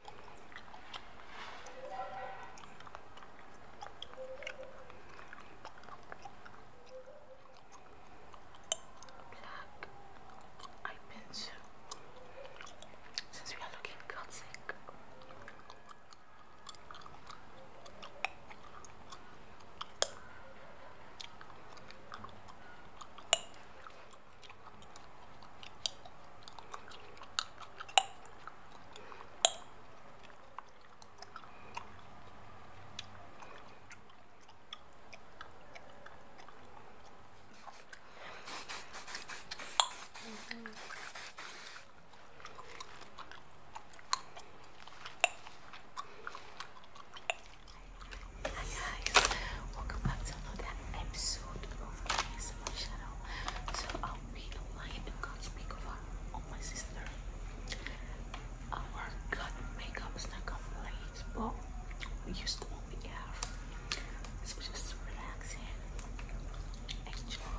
Black eye pencil. Since we are looking gothic. Hi guys, welcome back to another episode of guys on So I'll be a lion and God's makeover on my sister. Our God makeup is not complete, but we used to what we have. just relaxing. Enjoy.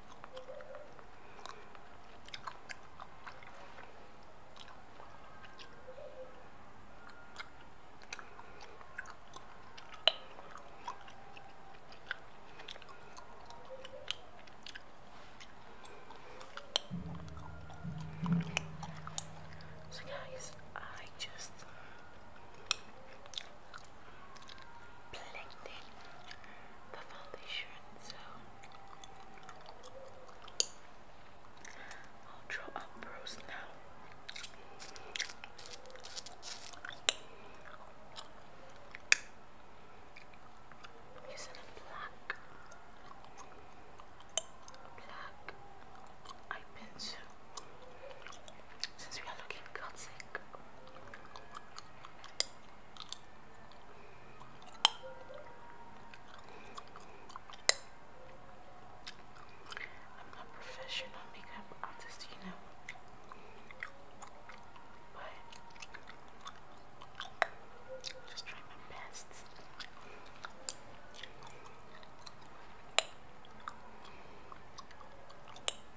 So guys, I just blending the foundation. So I'll draw up now. using black, black eye pencil. Since we are looking Gothic, I'm not professional makeup artist, you know. But just try my best.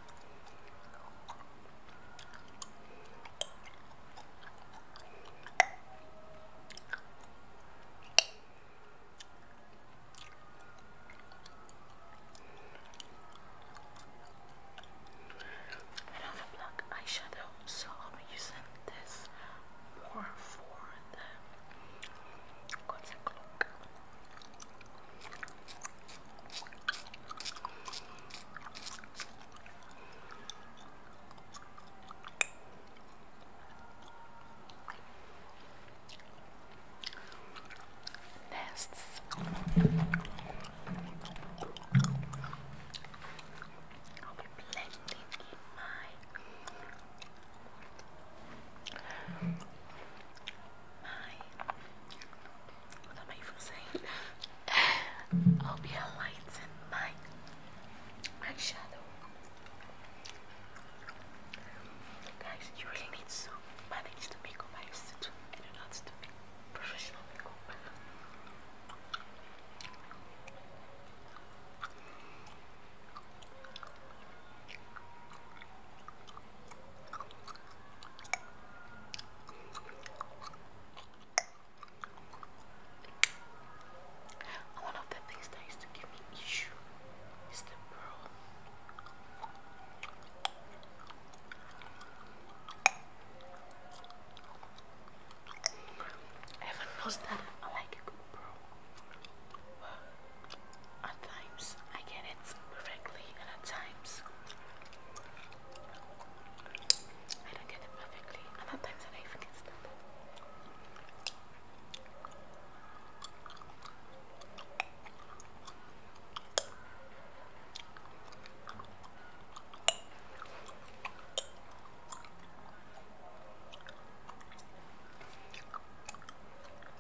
I do have a black eyeshadow, so I'll using this more for the concept look. Nests. I'll be blending in my my, what am I even I'll be enlightened my, my shadow. Guys, you really need to manage the makeup I used to do. I do not do professional makeup. One of the things that used to give me issue is the Everyone knows that I like a good bro. At times I get it perfectly, and at times I don't get it perfectly, and at times I even get started.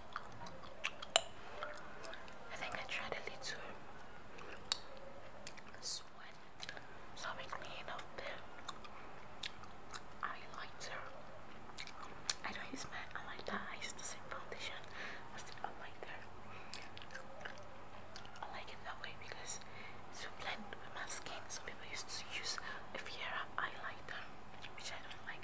I think I tried a little sweat so we clean up the highlighter. I don't use my highlighter, I use the same foundation as the highlighter. I like it that way because it's to blend with my skin. Some people used to use a Fiera highlighter, which I don't like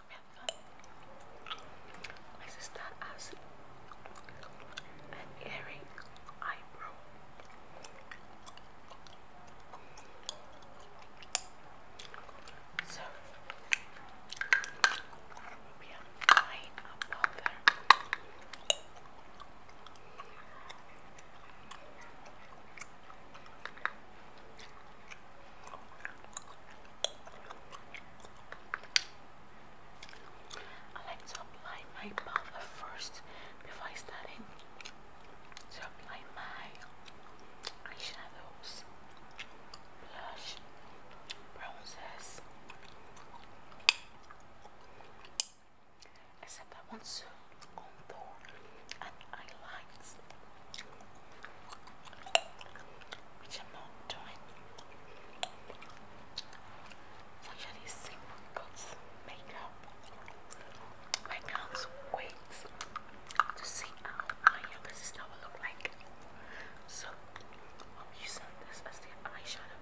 have fun. My sister has an earring eyebrow. So we are fine about her. I like to apply my powder first before I start in my eyeshadows, blush, bronzers. Except I want to contour and highlights, which I'm not doing. It's actually simple makeup. I can't to see how my younger sister will look like. So I'm using this as the eyeshadow.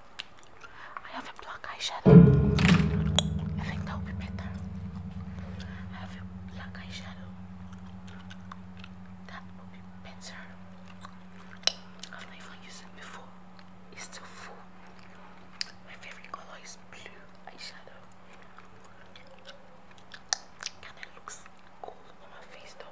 I have a black eyeshadow. I think that would be better. I have a black eyeshadow. That would be better. I've not even used it before. It's still full. My favorite color is blue eyeshadow. Kind of looks cool on my face though.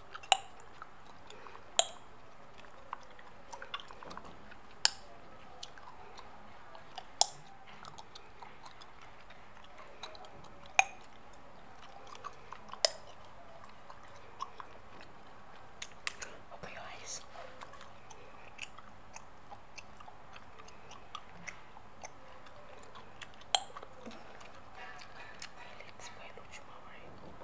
Open your eyes. Let's play with you,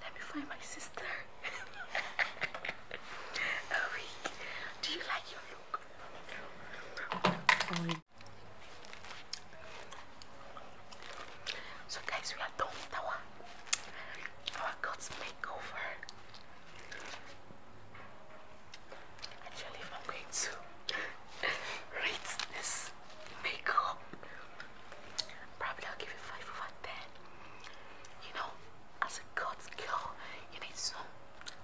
Let me find my sister. Owie, do you like your look? So guys, we are done our, God's makeover. Actually, I'm going to rate this makeup, Probably I'll give you five over ten. You know, as a god's girl, you need some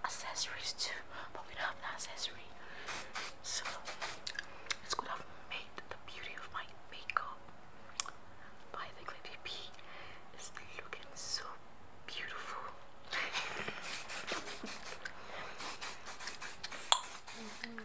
accessories too, but we don't have an accessory. So it's good could have made the beauty of my makeup. But I think Lady P looking so beautiful. Mm-hmm.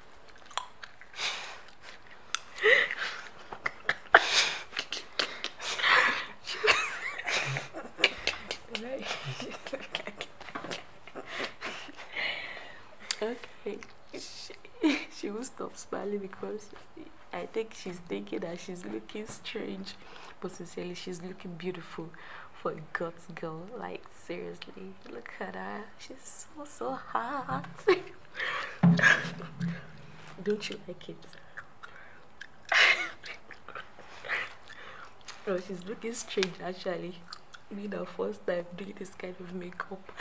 okay. She, will stop smiling because I think she's thinking that she's looking strange, but sincerely, she's looking beautiful for God's girl. Like, seriously, look at her. She's so, so hot. Don't you like it? oh, she's looking strange actually. Me the first time doing this kind of makeup.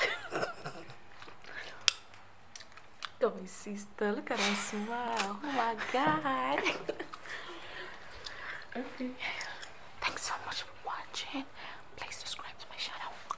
Look at my sister. Look at her smile. Oh my god. okay. Thanks so much for watching. Please subscribe to my channel.